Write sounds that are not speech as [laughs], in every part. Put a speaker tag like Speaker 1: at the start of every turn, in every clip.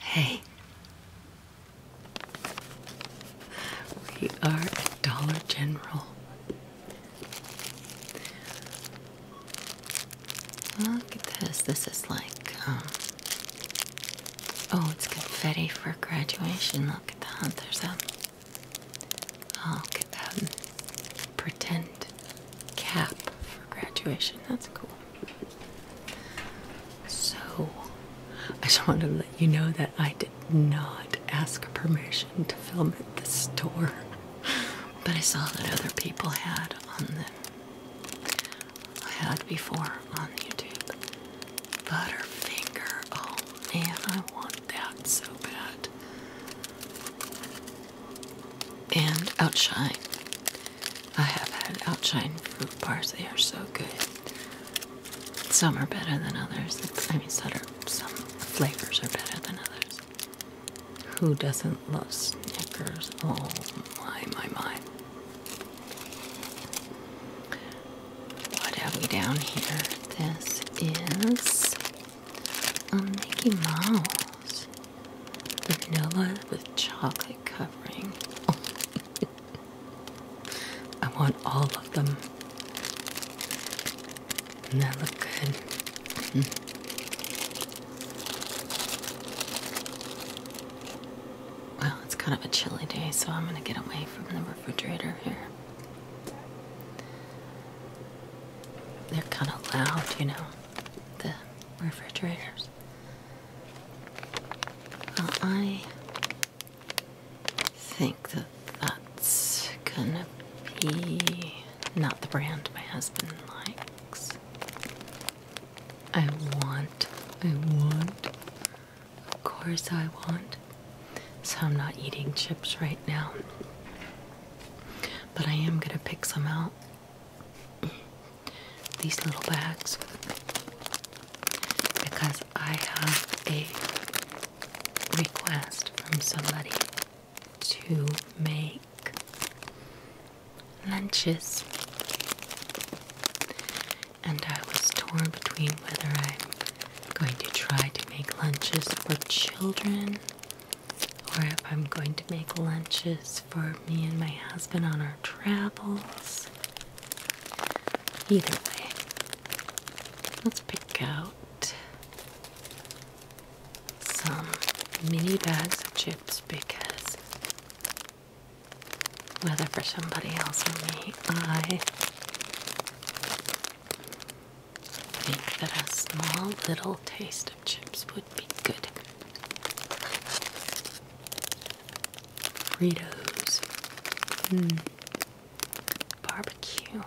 Speaker 1: Hey. We are Dollar General. Look at this. This is like, um, Oh, it's confetti for graduation. Look at that. There's a. look at that. Pretend cap for graduation. That's cool. So, I just wanted to let you know that I did not ask permission to film at the store, [laughs] but I saw that other people had on them. I had before on YouTube. Butterfinger. Oh man, I want that so bad. And Outshine. I have had Outshine fruit bars. They are so good. Some are better than others. I mean, some, some flavors are better than others. Who doesn't love Snickers? Oh my, my, my. What have we down here? This is a Mickey Mouse vanilla with chocolate covering. [laughs] I want all of them. And that look good. Mm. Well, it's kind of a chilly day, so I'm going to get away from the refrigerator here. They're kind of loud, you know, the refrigerators. I think that that's gonna be not the brand my husband likes. I want, I want of course, I want. So, I'm not eating chips right now. But I am going to pick some out. These little bags. Because I have a request from somebody to make lunches and I was torn between whether I'm going to try to make lunches for children or if I'm going to make lunches for me and my husband on our travels. Either way, let's pick out some mini bags of chips because whether for somebody else or me, I think that a small little taste of chips would be good. Fritos, hmm. barbecue.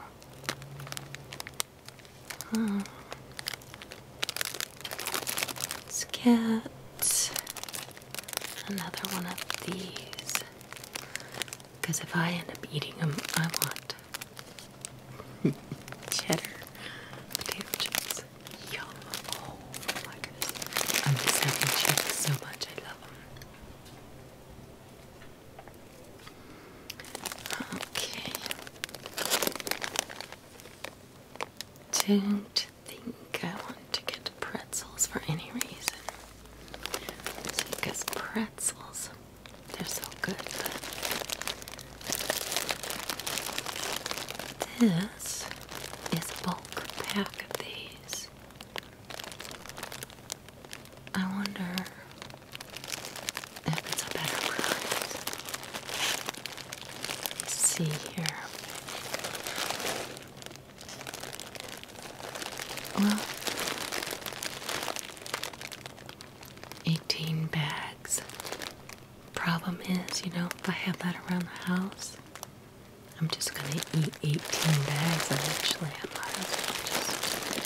Speaker 1: Let's hmm. get another one of these. Because if I end up eating them, I want [laughs] cheddar potato chips. Yum. Oh my goodness. I'm just having chips so much. I love them. Okay. Don't think I want to get pretzels for any reason. Because pretzels, they're so good, this is a bulk pack of these. I wonder if it's a better price. Let's see here. Well, 18 bags. Problem is, you know, if I have that around the house, I'm just gonna eat 18 bags eventually. I might as well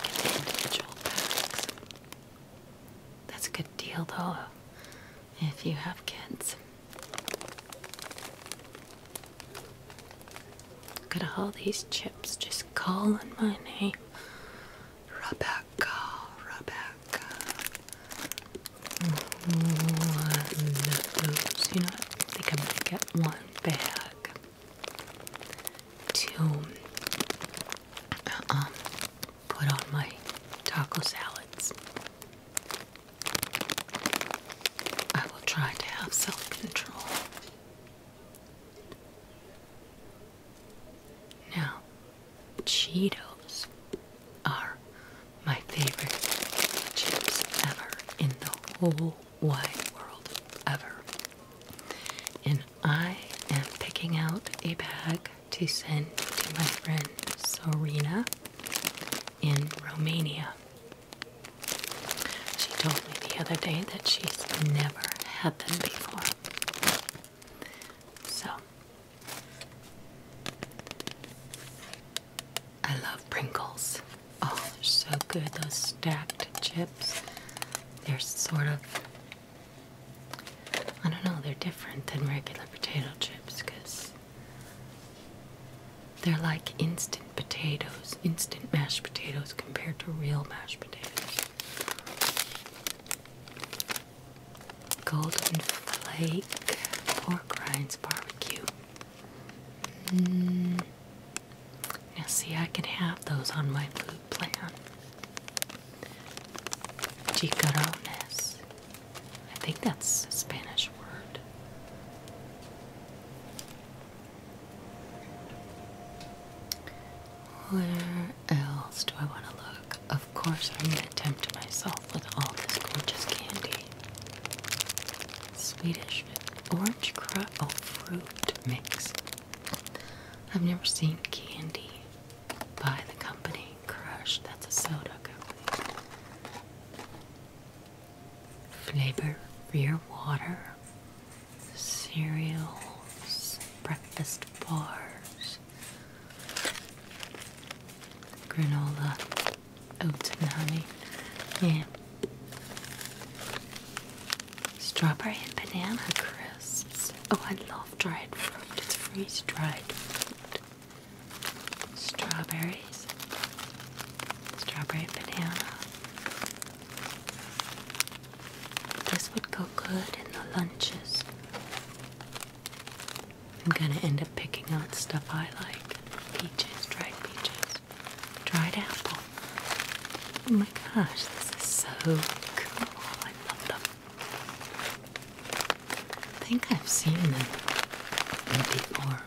Speaker 1: just get individual bags. That's a good deal though, if you have kids. Got all these chips just calling my name. Rebecca, Rebecca. One of You know, I think I'm gonna get one bag. To um, put on my taco salads. I will try to have self control. Now, Cheetos are my favorite chips ever in the whole wide world, ever. And I am picking out a bag to send to my friend Sorina in Romania. She told me the other day that she's never had them before. So, I love Pringles. Oh, they're so good, those stacked chips. They're sort of, I don't know, they're different than regular potato chips because they're like instant potatoes, instant mashed potatoes compared to real mashed potatoes. Golden Flake Pork Rinds Barbecue. Mm. Now, see, I can have those on my food plan. Chicharrones. I think that's a Spanish word. Where else do I want to look? Of course, I'm going to tempt myself with all this gorgeous candy. Swedish orange crop oh, fruit mix. I've never seen candy by the company Crush. That's a soda company flavor for your water, cereals, breakfast bars, granola, oats and honey. Yeah. Strawberry and banana crisps. Oh, I love dried fruit. It's freeze dried. Strawberries, strawberry banana. This would go good in the lunches. I'm gonna end up picking out stuff I like. Peaches, dried peaches, dried apple. Oh my gosh, this is so cool. I love them. I think I've seen them before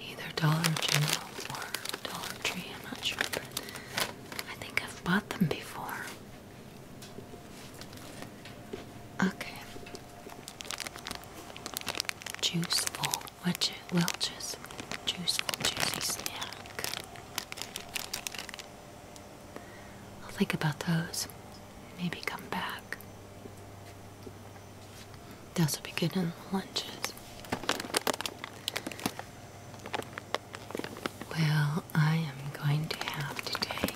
Speaker 1: either Dollar General or Dollar Tree, I'm not sure, but I think I've bought them before. Okay. Juiceful, which Welch's Juiceful Juicy Snack. I'll think about those. Maybe come back. That's what we get in the lunches. Well, I am going to have to take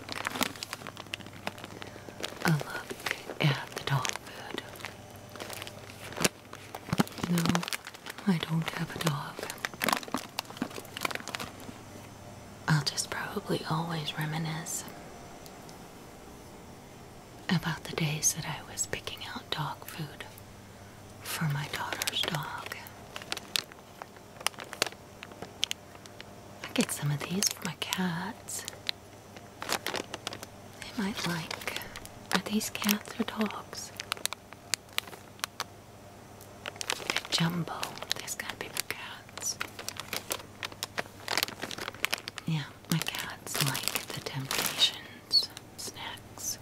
Speaker 1: a look at the dog food. No, I don't have a dog. I'll just probably always reminisce about the days that I was picking out dog food for my daughter's dog. I get some of these for my cats. They might like. Are these cats or dogs? jumbo. there gotta be for cats. Yeah, my cats like the Temptations snacks.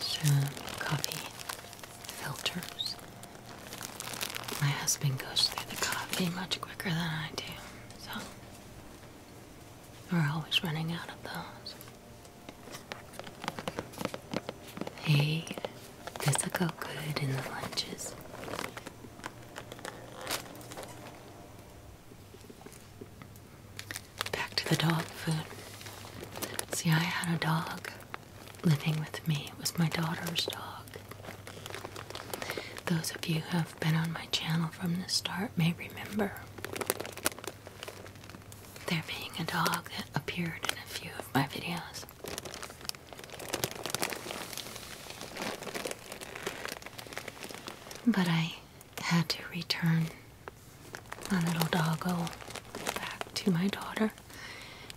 Speaker 1: Some coffee filters. My husband goes through the coffee much quicker than I do, so we're always running out of those. Hey, this will go good in the lunches. Back to the dog food. See, I had a dog living with me. It was my daughter's dog. Those of you who have been on my channel from the start may remember there being a dog that appeared in a few of my videos. But I had to return my little doggo back to my daughter,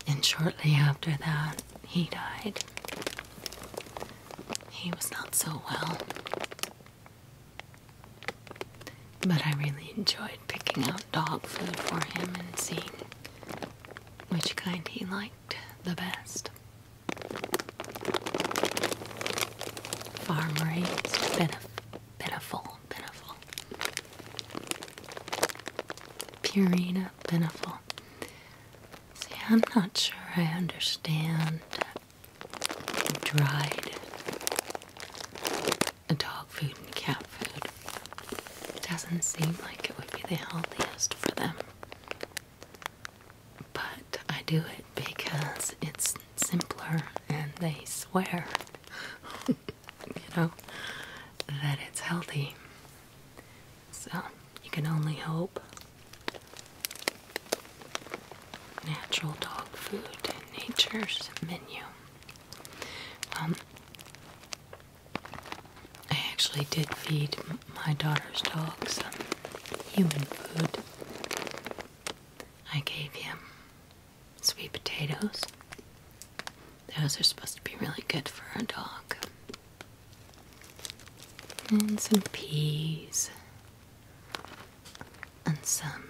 Speaker 1: and shortly after that, he died. He was not so well. But I really enjoyed picking up dog food for him and see which kind he liked the best. Farm raised, benef Beneful, Beneful. Purina Beneful. See, I'm not sure I understand dried dog food and cat food. It doesn't seem like it would be the healthiest for them. But I do it because it's simpler and they swear, [laughs] you know, that it's healthy. So you can only hope natural dog food in nature's menu. Um, I actually did feed my daughter's dog some human food. I gave him sweet potatoes. Those are supposed to be really good for a dog. And some peas. And some.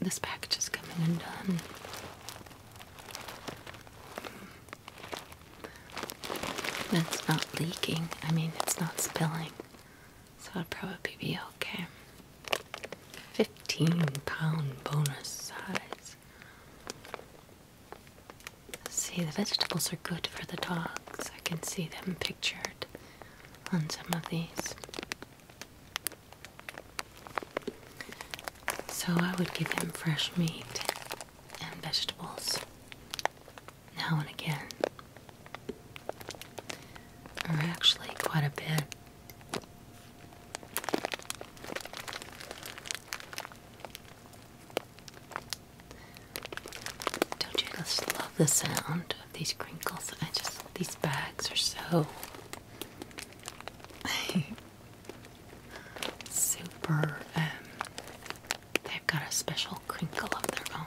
Speaker 1: This package is coming undone. That's not leaking. I mean, it's not spilling. So it'll probably be okay. 15 pound bonus size. See, the vegetables are good for the dogs. I can see them pictured on some of these. So I would give him fresh meat and vegetables now and again, or actually quite a bit. Don't you just love the sound of these crinkles? I just, these bags are so. [laughs] [laughs] super, um, they've got a special crinkle of their own.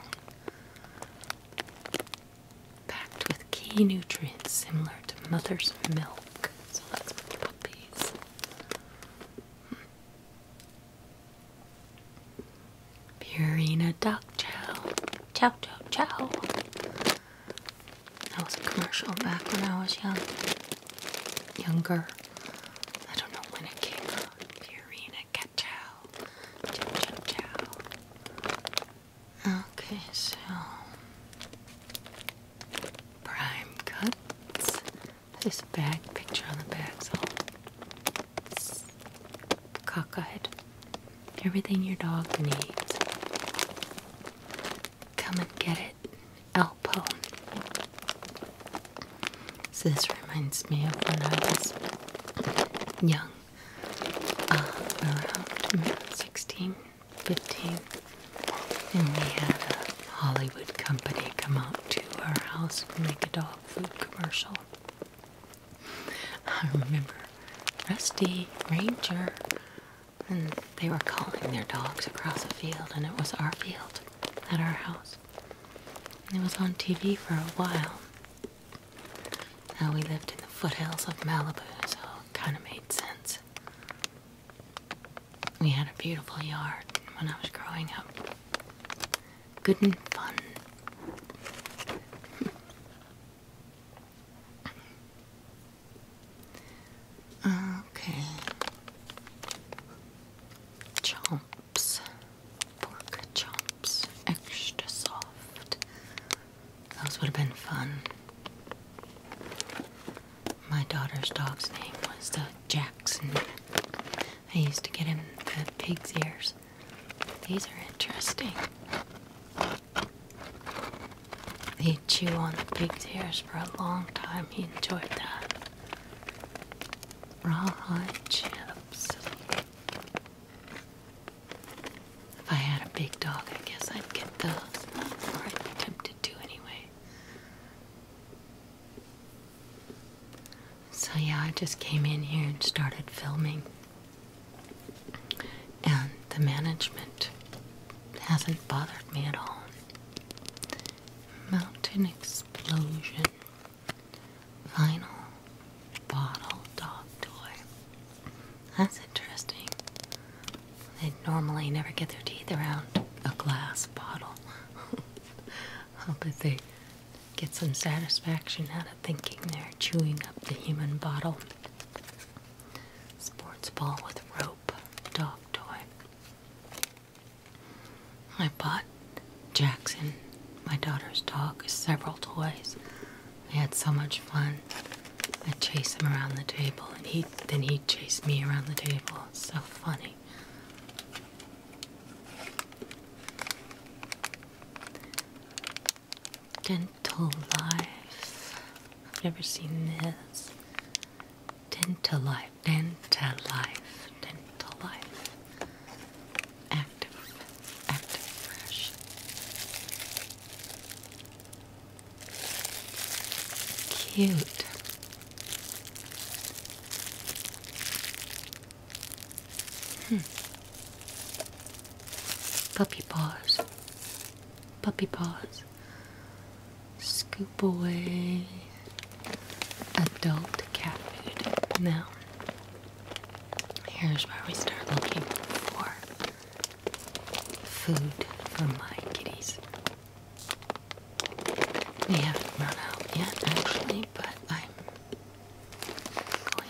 Speaker 1: Packed with key nutrients similar to mother's milk. So that's us put these. Purina Dog chow. Chow chow chow. That was a commercial back when I was young. Younger. I don't know when it came out. Purina Cacao. Chow. Okay, so prime cuts. This bag picture on the bag's all cockeyed. Everything your dog needs. Come and get it, Elpo. So this reminds me of when I was young, uh, around 16, 15, and we had a Hollywood company come out to our house and make a dog food commercial. I remember Rusty Ranger and they were calling their dogs across a field, and it was our field at our house. And it was on TV for a while. Now we lived in the foothills of Malibu, so it kind of made sense. We had a beautiful yard when I was growing up. Good and fun. [laughs] Uh, okay. Chomps. Pork chomps. Extra soft. Those would have been fun. My daughter's dog's name was uh, Jackson. I used to get him the pig's ears. These are interesting he chewed on the big ears for a long time. He enjoyed that. Rawhide chips. If I had a big dog, I guess I'd get those. Or I'd be tempted to anyway. So yeah, I just came in here and started filming. And the management hasn't bothered me at all. Mountain Explosion Vinyl Bottle Dog Toy. That's interesting. They normally never get their teeth around a glass bottle. i [laughs] they get some satisfaction out of thinking they're chewing up the human bottle. Sports ball with rope, dog toy. I bought Jackson, my daughter's dog, several toys. We had so much fun. I'd chase him around the table, and he then he'd chase me around the table. so funny. Dental Life. I've never seen this. Dental Life. Dentalife, life. active, active fresh. Cute. Hmm. Puppy paws. Puppy paws scoop away adult cat food. Now, here's where we start looking for food for my kitties. We haven't run out yet, actually, but I'm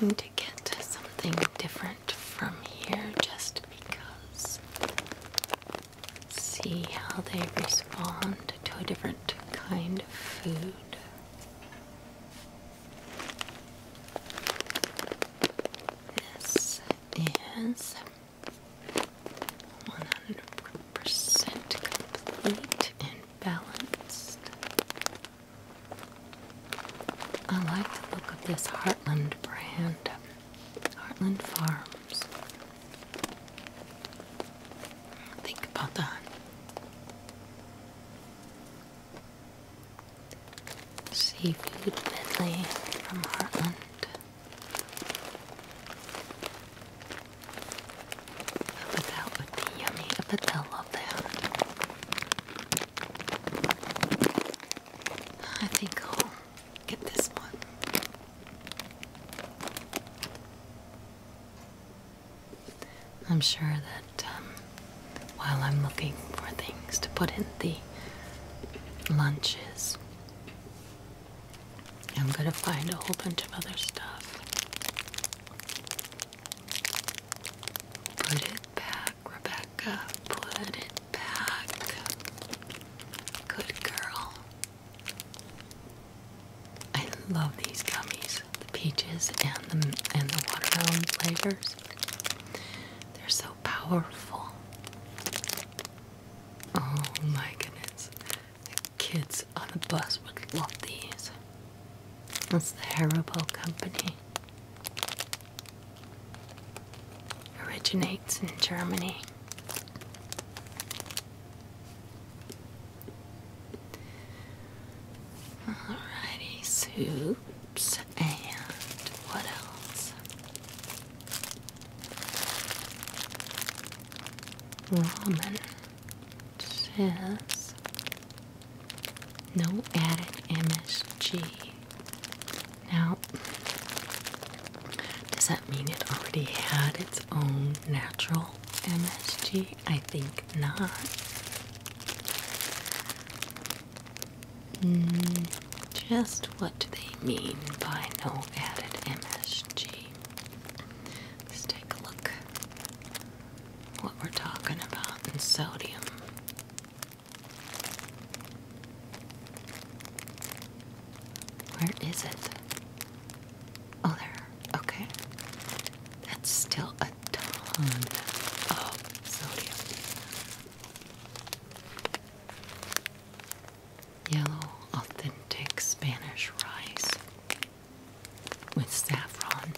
Speaker 1: going to get something different from here just because see how they respond to a different kind of food. This is 100% complete and balanced. I like the look of this Heartland brand, Heartland Farm. Think about that. Seafood medley from Heartland. I bet would be yummy. I bet they that. I think I'll Get this one. I'm sure that um, while I'm looking for things to put in the lunches, I'm gonna find a whole bunch of other stuff. Put it back, Rebecca. Put it back. Good girl. I love these gummies, the peaches and the and the watermelon flavors. They're so powerful. Oh my goodness. The kids on the bus would love these. That's the Haribo company. Originates in Germany. Alrighty, soups and what else? Ramen says no added MSG. Now, does that mean it already had its own natural MSG? I think not. Mm, just what do they mean by no added MSG? Let's take a look what we're talking about in sodium. Where is it? Oh, there. Okay. That's still a ton Oh, sodium. Yellow, authentic Spanish rice with saffron.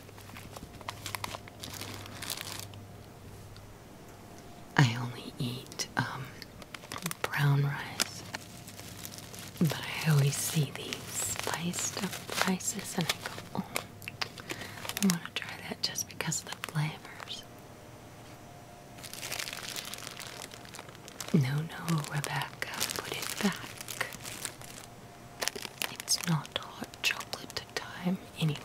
Speaker 1: I only eat um, brown rice. But I always see these spiced up rices and I go, oh, I want to try that just because of the flavors. No, no, Rebecca, put it back. It's not hot chocolate time anyway.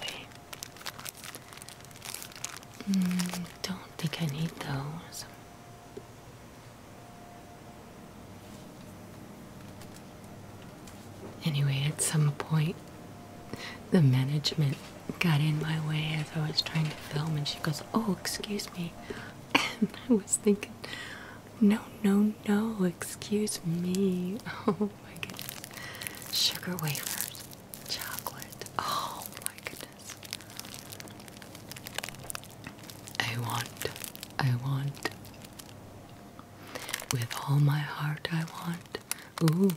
Speaker 1: Mm, don't think I need those. Anyway, at some point, the management got in my way as I was trying to film, and she goes, Oh, excuse me. [laughs] And I was thinking, No, no, no, excuse me. [laughs] Oh my goodness. Sugar wafers, chocolate. Oh my goodness. I want, I want. With all my heart, I want. Ooh,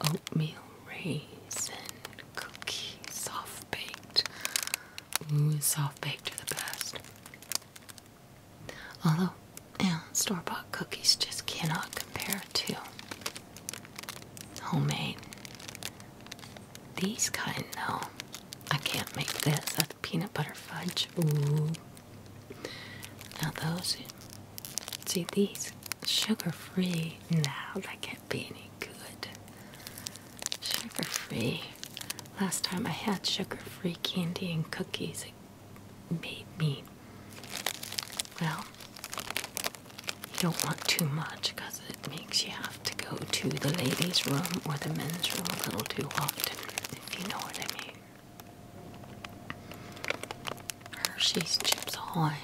Speaker 1: oatmeal, raisin, cookie, soft baked. Ooh, soft baked are the best. Although, yeah, store bought cookies just cannot compare to homemade. These kind, no. I can't make this. That's peanut butter fudge. Ooh. Now those, see these, sugar-free. Now that can't be any good. Sugar-free. Last time I had sugar-free candy and cookies, it made me. Well, you don't want too much because because it makes you have to go to the ladies' room or the men's room a little too often, if you know what I mean. Hershey's Chips Ahoy.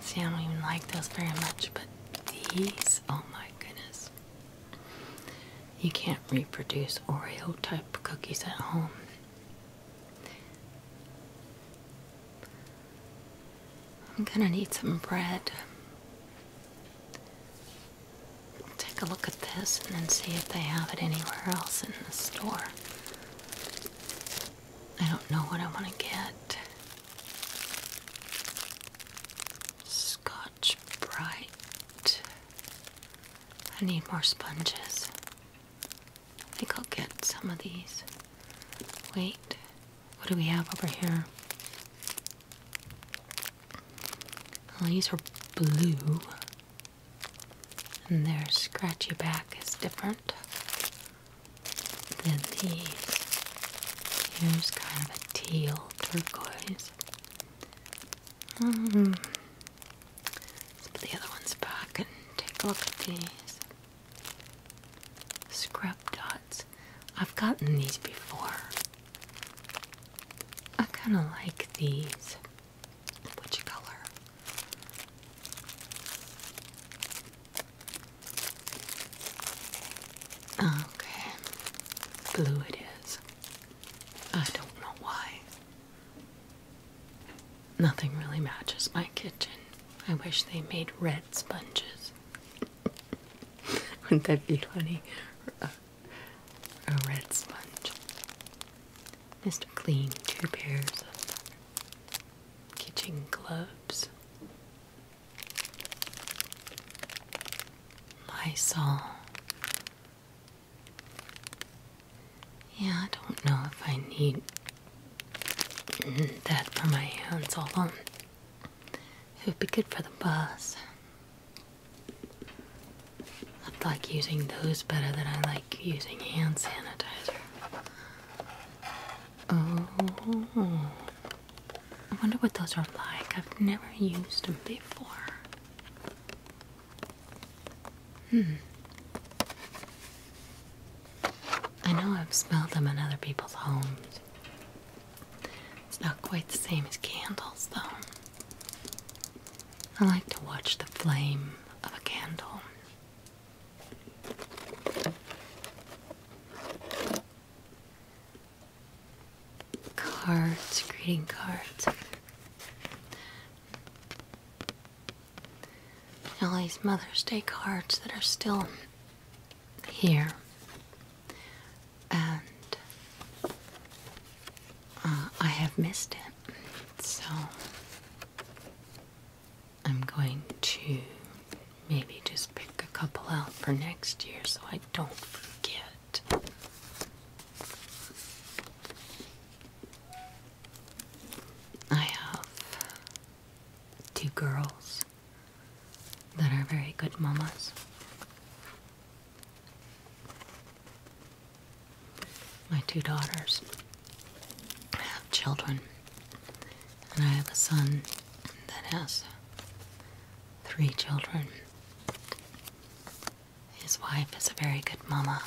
Speaker 1: See, I don't even like those very much, but these, oh my goodness. You can't reproduce Oreo type cookies at home. I'm gonna need some bread. Take a look at this and then see if they have it anywhere else in the store. I don't know what I want to get. Scotch Bright. I need more sponges. I think I'll get some of these. Wait. What do we have over here? Oh, these are blue, and their scratchy back is different than these. Here's kind of a teal turquoise. Hmm. let's put the other ones back and take a look at these. Scrub dots. I've gotten these before. I kind of like these. Which color? Okay. Blue it is. I don't know why. Nothing really matches my kitchen. I wish they made red sponges. [laughs] Wouldn't that be funny? A, red sponge. Mr. Clean, two pairs of kitchen gloves. Lysol. Yeah, I don't know if I need that for my hands. alone. It would be good for the bus. I would like using those better than I like using hand sanitizer. Oh, I wonder what those are like. I've never used them before. Hmm. I know I've smelled them in other people's homes. It's not quite the same as candles, though. I like to watch the flame of a candle. Cards, greeting cards. All these Mother's Day cards that are still here and uh, I have missed it. So I'm going to maybe just pick a couple out for next year so I don't forget. I have two girls that are very good mamas. My two daughters have children, and I have a son that has three children. His wife is a very good mama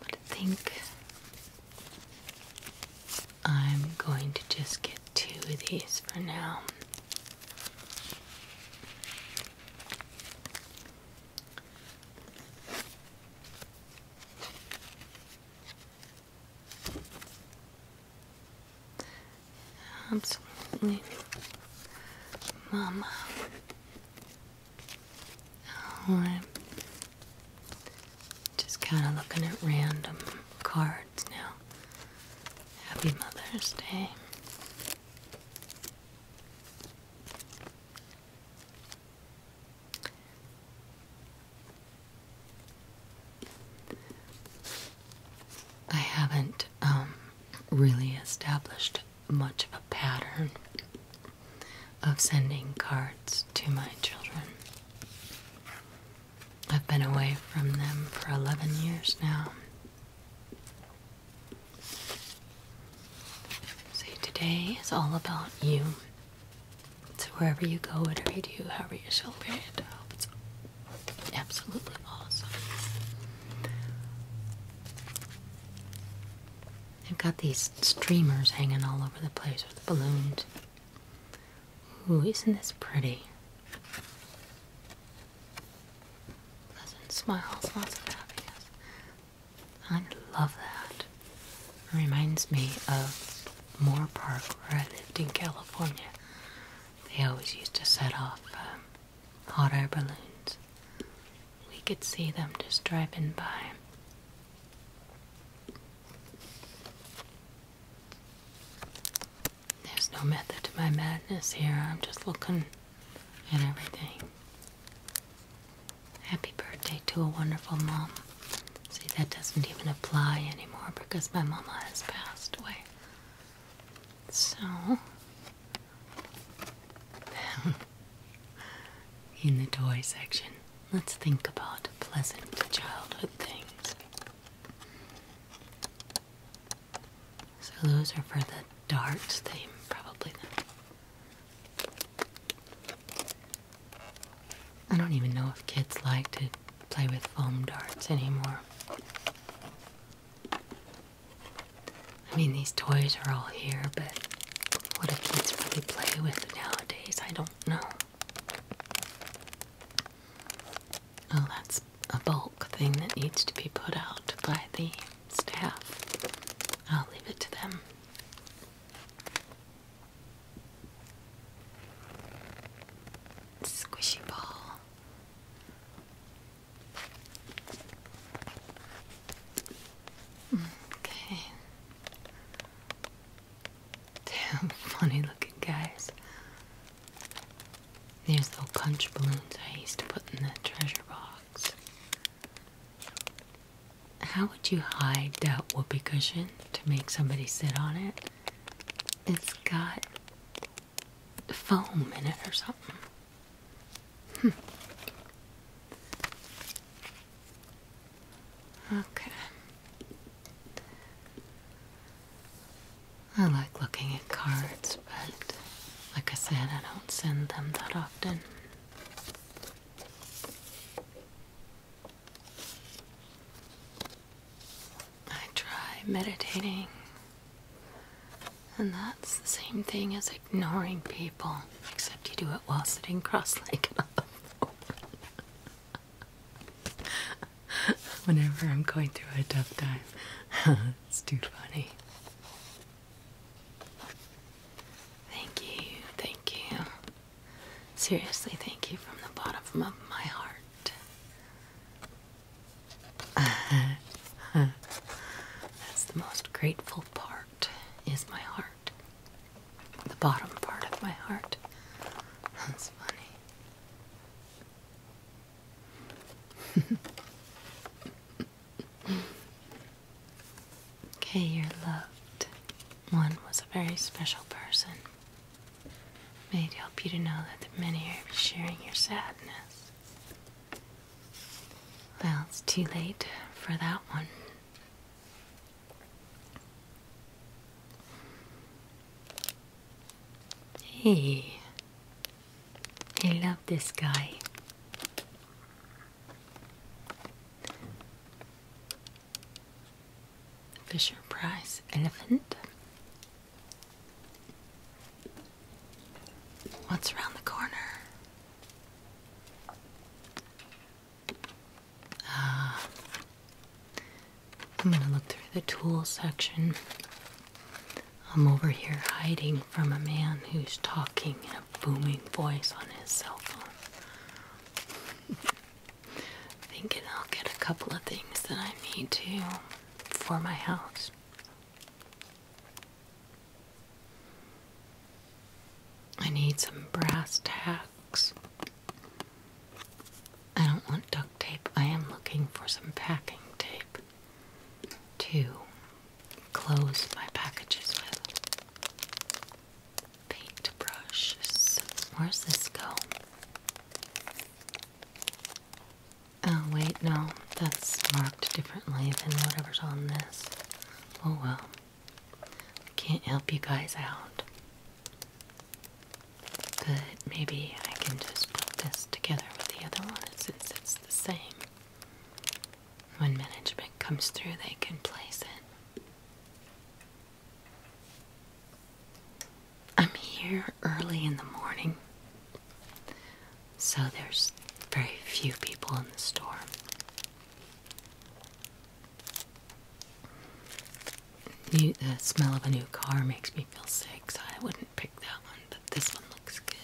Speaker 1: but I think I'm going to just get two of these for now. Absolutely, Mama. All right, just kind of looking at random cards now. Happy Mother's Day. I haven't um, really established much of a pattern of sending cards to my children. I've been away from them for 11 years now. So today is all about you. So wherever you go, whatever you do, however you celebrate it, I hope it's absolutely awesome. They've got these streamers hanging all over the place with balloons. Ooh, isn't this pretty? Pleasant smiles, lots of happiness. I love that. It reminds me of Moore Park where I lived in California. They always used to set off um, hot air balloons. We could see them just driving by there's no method to my madness here. I'm just looking at everything. Happy birthday to a wonderful mom. See, that doesn't even apply anymore because my mama has passed away. So. [laughs] [laughs] in the toy section. Let's think about pleasant childhood things. So, those are for the darts theme, probably. I don't even know if kids like to play with foam darts anymore. I mean, these toys are all here, but what do kids really play with nowadays? I don't know. Oh, that's a bulk thing that needs to be put out by the staff. I'll leave it to them. Squishy ball. Mm, okay. Damn funny looking guys. These little punch balloons I used to put in the treasure box. How would you hide that whoopee cushion to make somebody sit on it? It's got foam in it or something. Hm. Okay. I like looking at cards, but like I said, I don't send them that often. I try meditating, and that's the same thing as ignoring people, except you do it while sitting cross legged [laughs] Whenever I'm going through a tough time, [laughs] it's too funny. Thank you, thank you. Seriously, thank you from the bottom of my heart. [laughs] That's the most grateful part, is my heart the bottom part of my heart. That's funny. okay, you're loved. One was a very special person. May it help you to know that the many are sharing your sadness. Well, it's too late for that one. Hey, I love this guy. Fisher Price elephant. What's around the corner? I'm gonna look through the tool section. I'm over here hiding from a man who's talking in a booming voice on his cell phone. [laughs] Thinking I'll get a couple of things that I need to for my house. I need some brass tacks. I don't want duct tape. I am looking for some packing tape to close my packages with. Paintbrushes. brushes. Where's this go? Oh, wait, no. That's marked differently than whatever's on this. Oh well. Can't help you guys out. But maybe I can just put this together with the other one since it's the same. When management comes through, they can place it. I'm here early in the morning, so there's very few people in the store the smell of a new car makes me feel sick, so I wouldn't pick that one, but this one looks good.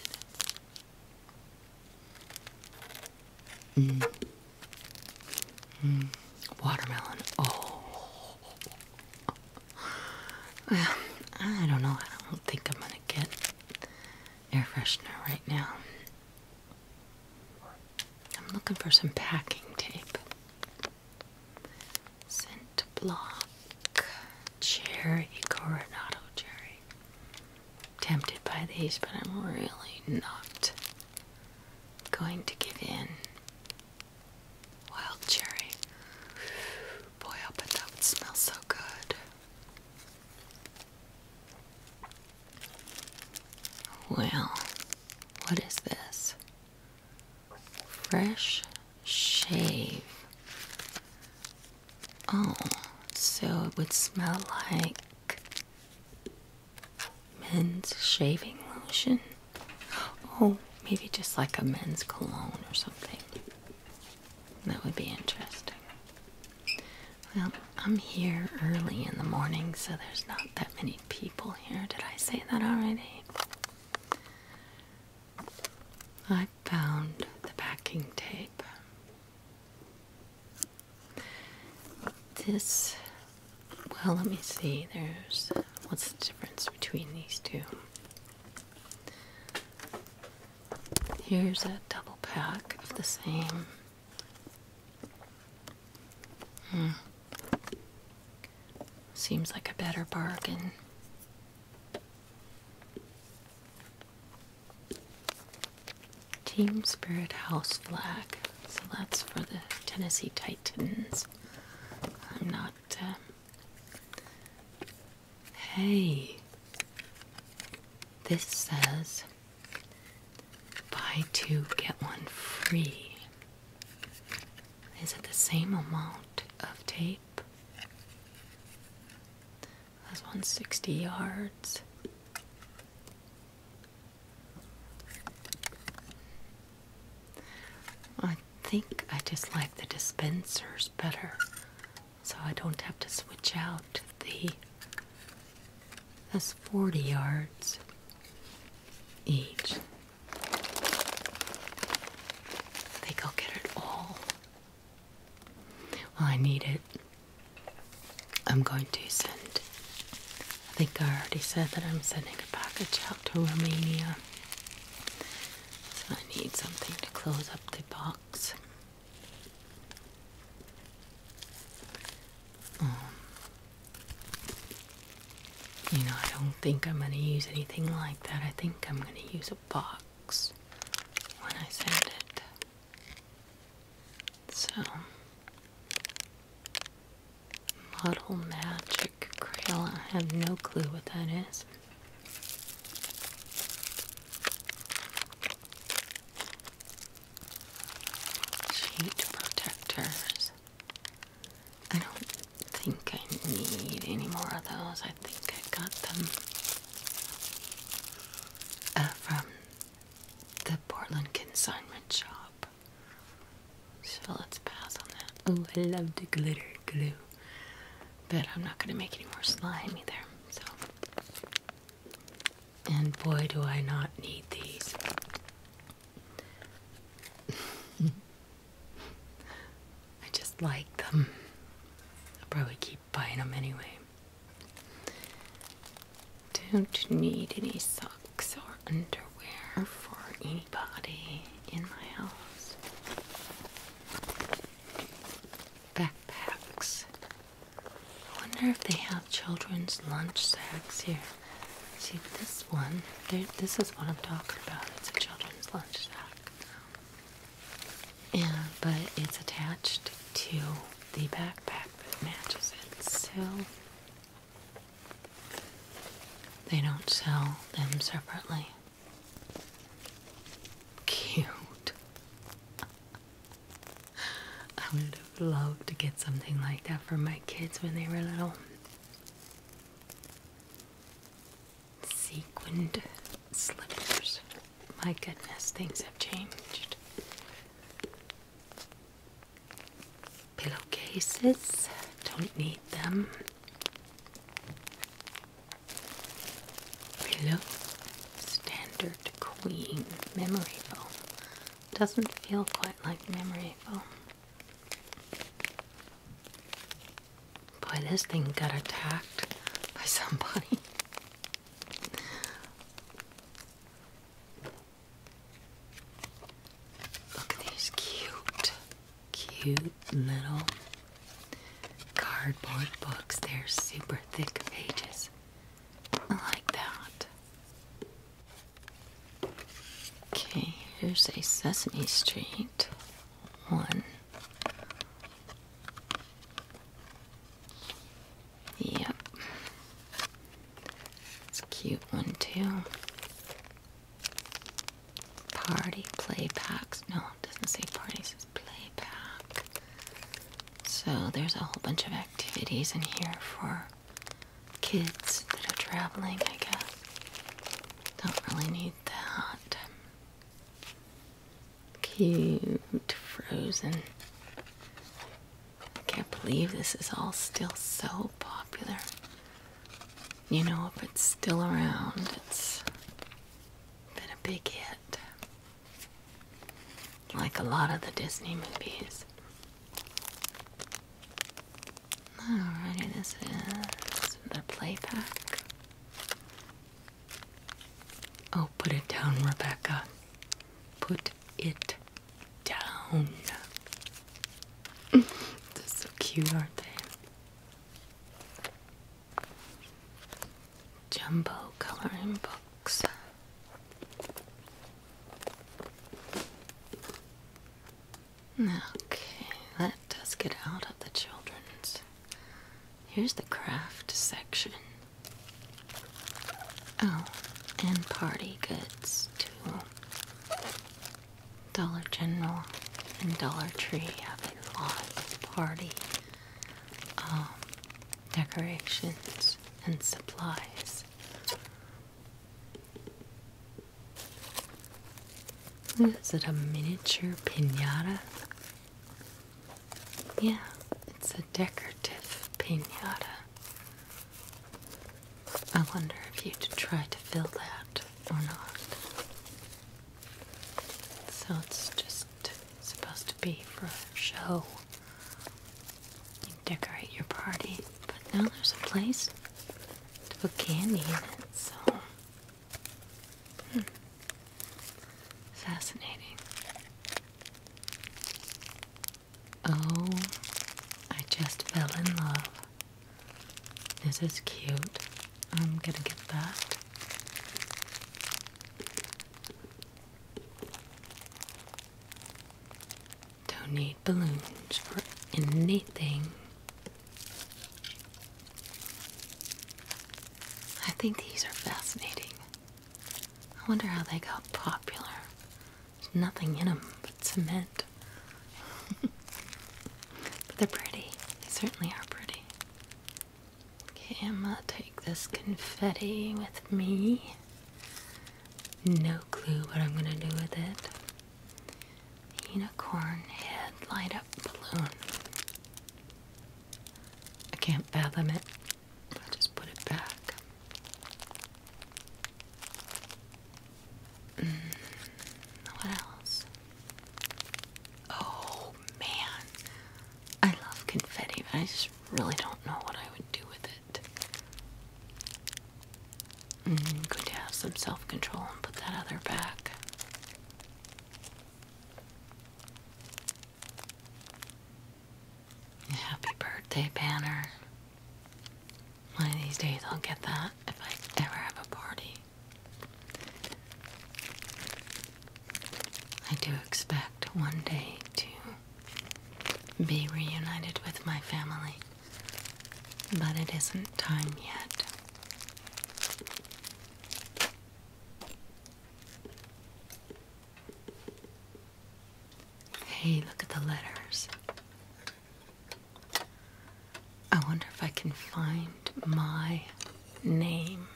Speaker 1: Mm. Mm. Watermelon. Oh. Well, I don't know. I don't think I'm going to get air freshener right now. I'm looking for some packing tape. Scent block cherry coronado cherry. Tempted by these, but I'm really not going to give in. Wild cherry. Boy, I bet that would smell so good. Well, what is this? Fresh shave. Oh, so it would smell like men's shaving lotion. Oh, maybe just like a men's cologne or something. That would be interesting. Well, I'm here early in the morning, so there's not that many people here. Did I say that already? I found the backing tape. This, well, let me see. There's what's the difference between these two? Here's a double pack of the same Hmm. Seems like a better bargain. Team Spirit House flag. So that's for the Tennessee Titans. I'm not. Uh, hey. This says buy two, get one free. Is it the same amount of tape? That's 160 yards. I think I just like the dispensers better so I don't have to switch out the that's 40 yards each they go get it all. I need it. I'm going to send. I think I already said that I'm sending a package out to Romania. So I need something to close up the box. Um, you know, I don't think I'm going to use anything like that. I think I'm going to use a box when I send it. So, Model Magic Crayola. I have no clue what that is. Sheet protectors. I don't think I need any more of those. I think I got them uh, from the Portland Consignment Shop. So let's pass on that. Oh, I love the glitter glue. But I'm not going to make any more slime either. So. And boy, do I not need these. [laughs] I just like them. I'll probably keep buying them anyway. Don't need any socks or underwear for anybody in my house. Backpacks. I wonder if they have children's lunch sacks here. See this one, this is what I'm talking about. It's a children's lunch sack. And, but it's attached to the backpack that matches it. So they don't sell them separately. Cute. I would have loved to get something like that for my kids when they were little. Sequined slippers. My goodness, things have changed. Pillowcases, don't need them. Pillow, standard queen memory foam. Doesn't feel quite like memory foam. Boy, this thing got attacked by somebody. [laughs] Look at these cute, cute little cardboard books. They're super thick pages. like that. Okay, here's a Sesame Street one. Yep. It's a cute one too. Party play packs. No, it doesn't say party, it says play pack. So there's a whole bunch of activities in here for kids that are traveling, I guess. Don't really need that. Cute frozen. I can't believe this is all still so popular. You know, if it's still around, it's been a big hit. Like a lot of the Disney movies. Alrighty, this is the play Oh, put it down, Rebecca. Put it down. [laughs] They're so cute, aren't they? Jumbo coloring books. Okay, Let us get out of the children's. Here's the craft section. Oh, and party goods too. Dollar General and Dollar Tree have a lot of party um, decorations and supplies. Is it a miniature pinata? Yeah, it's a decorative pinata. I wonder if you'd try to fill that or not. So it's just supposed to be for a show. You decorate your party, but now there's a place to put candy in it, so Hmm. Fascinating. Oh, I just fell in love. This is cute. I'm gonna get that. Don't need balloons for anything. I think these are fascinating. I wonder how they got popular. There's nothing in them but cement. [laughs] but they're pretty. They certainly are pretty. Okay, I'm gonna take this confetti with me. No clue what I'm gonna do with it. Unicorn head light up balloon. I can't fathom it. i just put it back. Mm, what else? Oh man. I love confetti, I just really don't know what I would do with it. Mm-hmm. good to have some self control and put that other back. Happy birthday banner. One of these days I'll get that if I ever have a party. I do expect one day to be reunited with my family, but it isn't time yet. Hey, look at the letters. I wonder if I can find my name.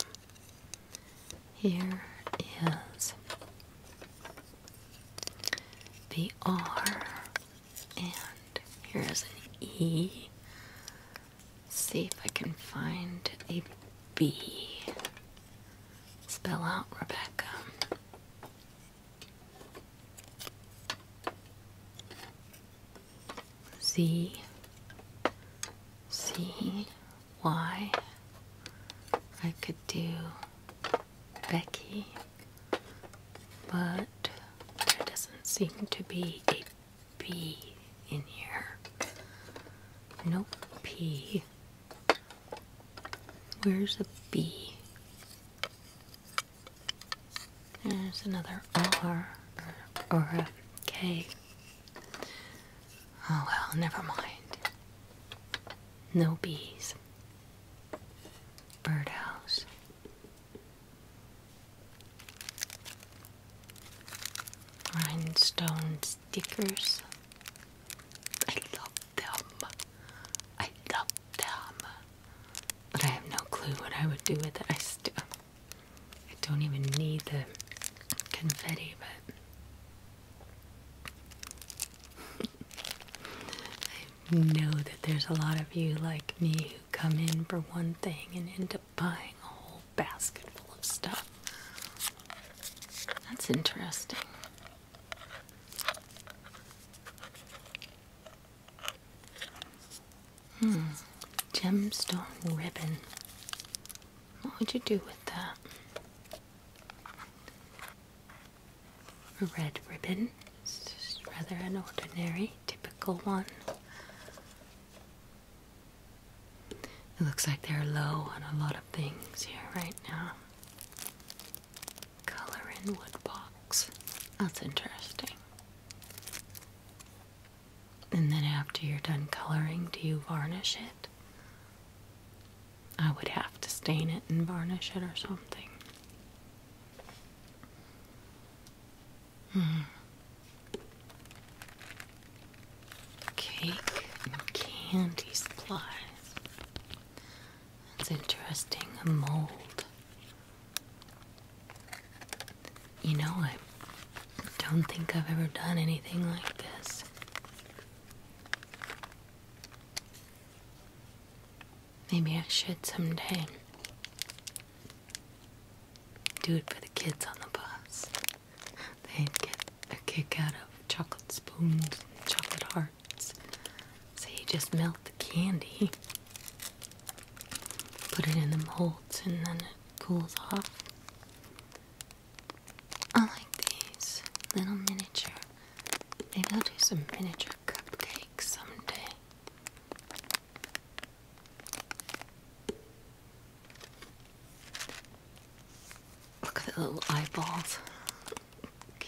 Speaker 1: Here is the R and here is an E. see if I can find a B. Spell out Rebecca. Z C Y. I could do Becky, but there doesn't seem to be a B in here. No P. Where's the B? There's another R or a K. Oh well, never mind. No bees. Birdhouse. Rhinestone stickers. I love them. I love them. But I have no clue what I would do with it. I still I don't even need the confetti, but [laughs] I know that there's a lot of you like me come in for one thing and end up buying a whole basket full of stuff. That's interesting. Hmm, gemstone ribbon. What would you do with that? A red ribbon. It's rather an ordinary, typical one. It looks like they're low on a lot of things here right now. Color in wood box. That's interesting. And then after you're done coloring, do you varnish it? I would have to stain it and varnish it or something. Cake and candy supplies. That's interesting. A mold. You know, I don't think I've ever done anything like this. Maybe I should someday do it for the kids on the bus. They get a kick out of chocolate spoons, and chocolate hearts. So you just melt the candy, put it in the molds, and then it cools off. I like these little miniature. Maybe I'll do some miniature cupcakes someday. Look at the little eyeballs. I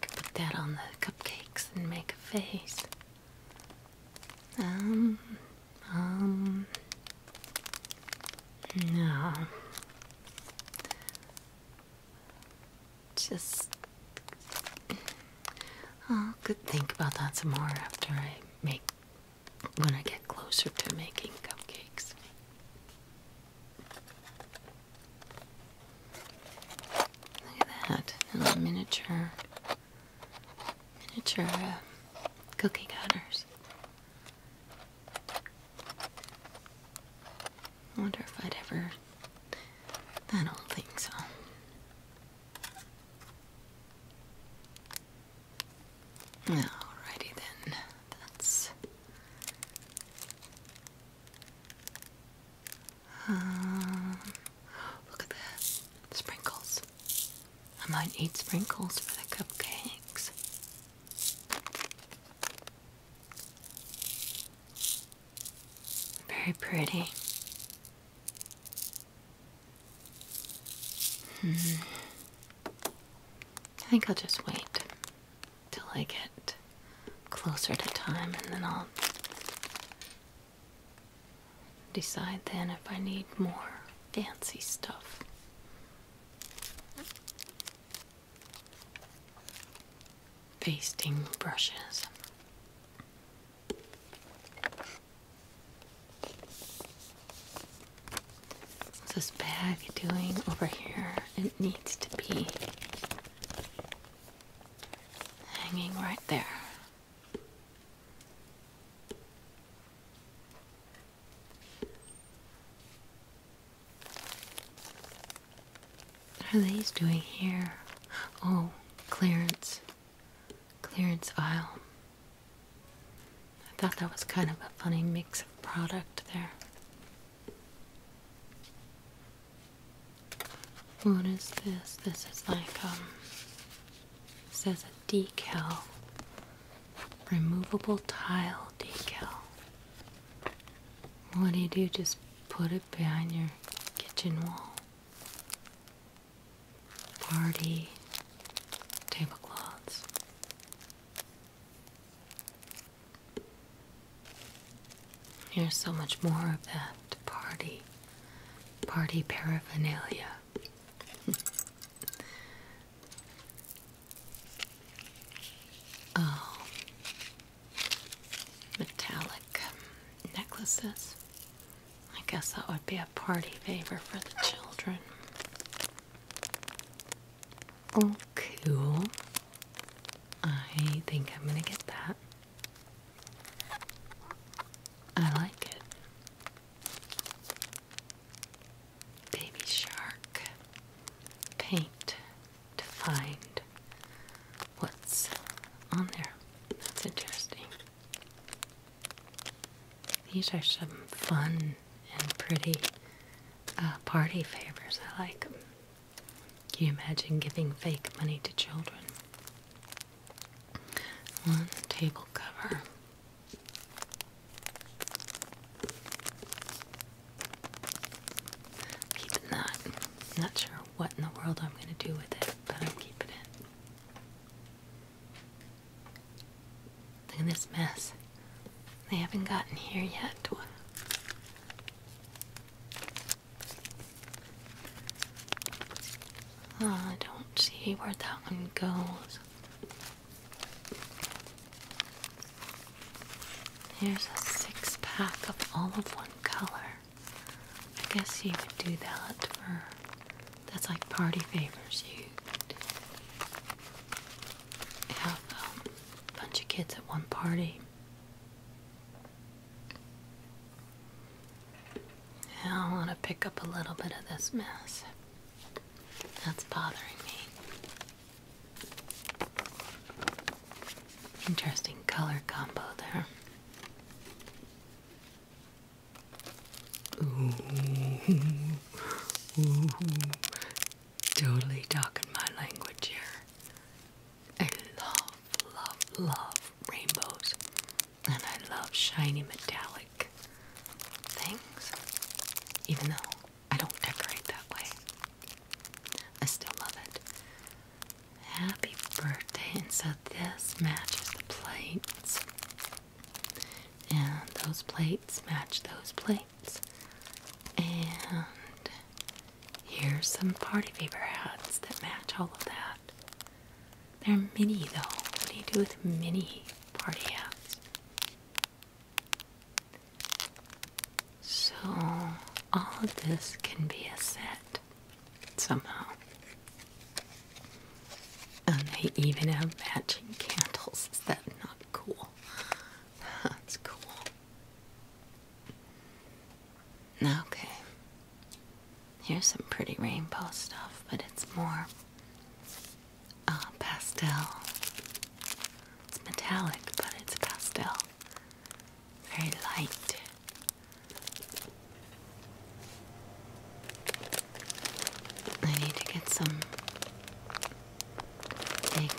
Speaker 1: could put that on the cupcakes and make a face. Um, um, no. Just. I could think about that some more after I make. when I get closer to making cupcakes. Look at that. little miniature. miniature uh, cookie cutters. wonder if I'd ever I don't think so. Alrighty then. That's um, look at that sprinkles. I might need sprinkles for the cupcakes. Very pretty. Hmm. I think I'll just wait till I get closer to time and then I'll decide then if I need more fancy stuff. Basting brushes. What's this bag doing over here? It needs to be hanging right there. What are these doing here? Oh, clearance. Clearance aisle. I thought that was kind of a funny mix of product there. What is this? This is like, um, says a decal. Removable tile decal. What do you do? Just put it behind your kitchen wall party tablecloths. There's so much more of that party, party paraphernalia. [laughs] oh, metallic necklaces. I guess that would be a party favor for the children. Oh, cool. I think I'm gonna get that. I like it. Baby shark. Paint to find what's on there. That's interesting. These are some fun and pretty uh, party favors. I like them. Can you imagine giving fake money to children? One table cover. Keeping that. I'm not sure what in the world I'm going to do with it but I'm keeping it. Look at this mess. They haven't gotten here yet. Oh, I don't see where that one goes. Here's a six pack of all of one color. I guess you could do that for that's like party favors. You have um, a bunch of kids at one party. Now I want to pick up a little bit of this mess. That's bothering me. Interesting color combo there. Ooh, ooh, totally talking my language here. I love, love, love rainbows, and I love shiny metallic things, even though I don't decorate that way. I still love it. Happy birthday. And so this matches the plates. And those plates match those plates. And here's some party favor hats that match all of that. They're mini though. What do you do with mini party hats? So all of this can be a set somehow. And they even have matching candles. Is that not cool? [laughs] That's cool. Okay. Here's some pretty rainbow stuff, but it's more uh, pastel. It's metallic, but it's pastel. Very light. I need to get some egg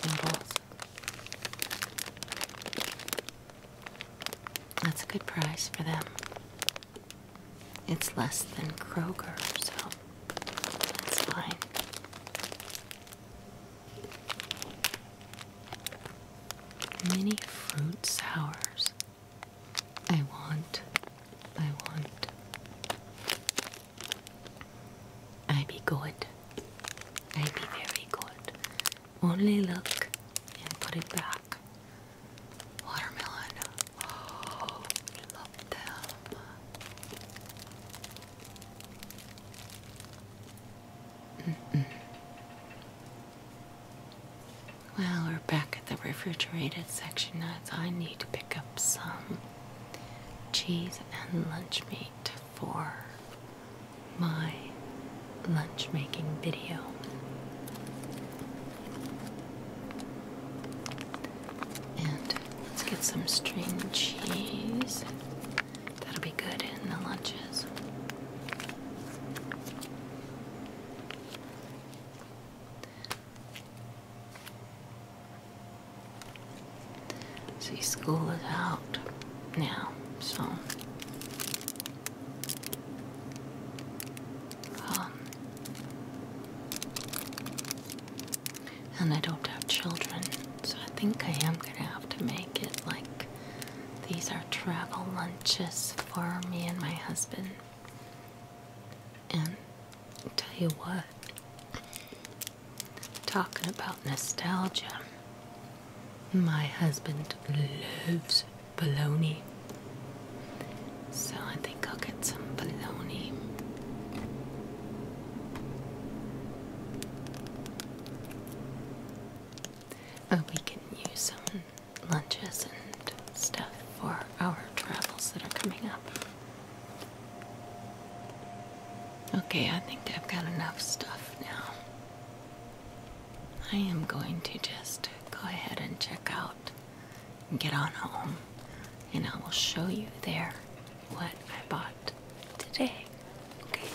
Speaker 1: That's a good price for them. It's less than Kroger, so that's fine. Mini fruit sours. I want, I want. I be good. I be very good. Only look and put it back. Watermelon. Oh, [gasps] love them. Mm well, we're back at the refrigerated section now, I need to pick up some cheese and lunch meat for my lunch making video. And let's get some string cheese. That'll be good in the lunches. See, school is out now, so. Um, and I don't have children, so I think I am gonna have to make it like these are travel lunches for me and my husband. And tell you what, talking about nostalgia, my husband loves bologna. So I think I'll get some bologna. Oh, we can use some lunches and stuff for our travels that are coming up. Okay, I think I've got enough stuff now. I am going to just go ahead and check out and get on home, and I will show you there what I bought today. Okay.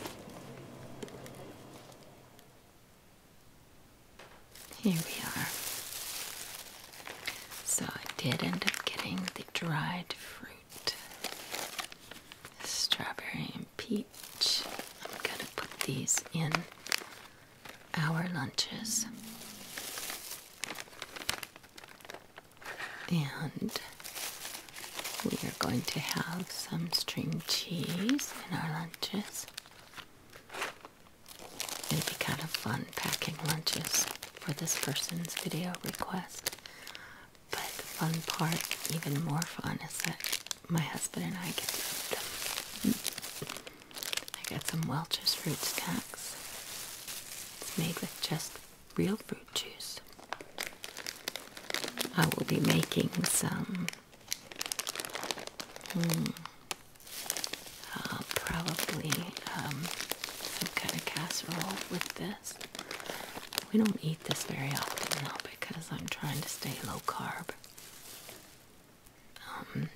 Speaker 1: Here we are. So I did end up getting the dried fruit. Strawberry and peach. I'm gonna put these in our lunches. And we are going to have some string cheese in our lunches. It'd be kind of fun packing lunches for this person's video request. But the fun part, even more fun, is that my husband and I get to eat them. I got some Welch's fruit snacks. It's made with just real fruit juice. I will be making some Hmm. Uh, probably um, some kind of casserole with this. We don't eat this very often now because I'm trying to stay low carb. Um,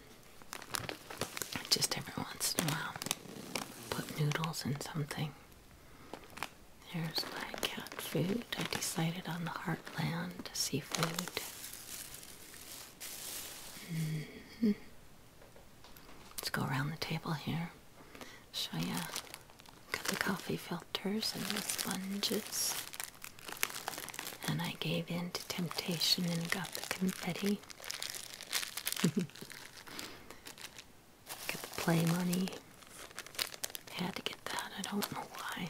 Speaker 1: just every once in a while, put noodles in something. There's my cat food. I decided on the Heartland seafood. Mm-hmm. Let's go around the table here. Show you Got the coffee filters and the sponges. And I gave in to temptation and got the confetti. [laughs] Got the play money. Had to get that. I don't know why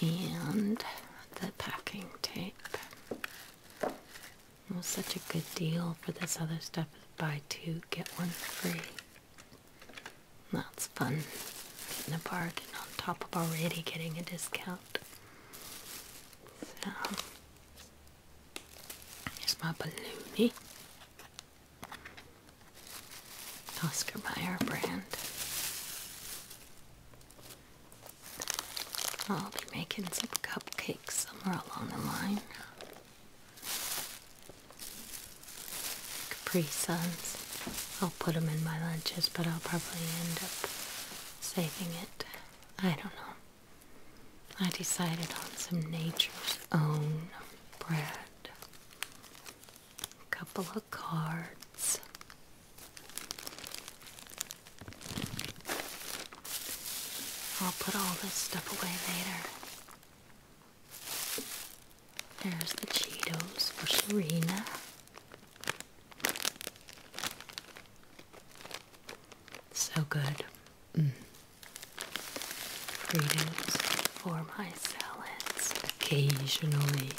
Speaker 1: and the packing tape. It was such a good deal for this other stuff. Buy two, get one free. That's fun. Getting a bargain on top of already getting a discount. So, here's my balloonie. Oscar Mayer brand. I'll be making some cupcakes somewhere along the line. Capri Suns. I'll put them in my lunches, but I'll probably end up saving it. I don't know. I decided on some nature's own bread. A couple of cards. I'll put all this stuff away later. There's the Cheetos for Serena. So good. Mm. Freedoms for my salads occasionally.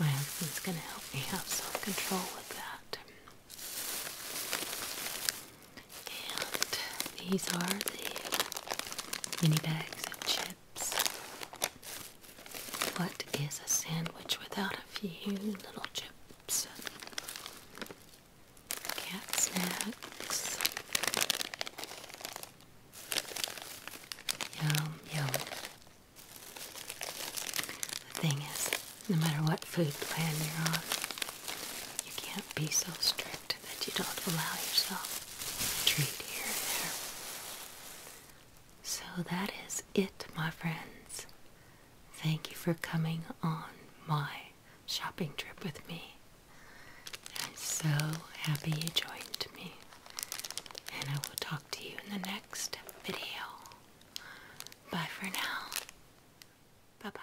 Speaker 1: My husband's going to help me have self control with that. And these are the mini bags of chips. What is a sandwich without a few little chips? Cat snacks. Yum, yum. The thing is, no matter what food plan you're on, you can't be so strict that you don't allow yourself a treat here and there. So that is it, my friends. Thank you for coming on my shopping trip with me. I'm so happy you joined me and I will talk to you in the next video. Bye for now. Bye bye.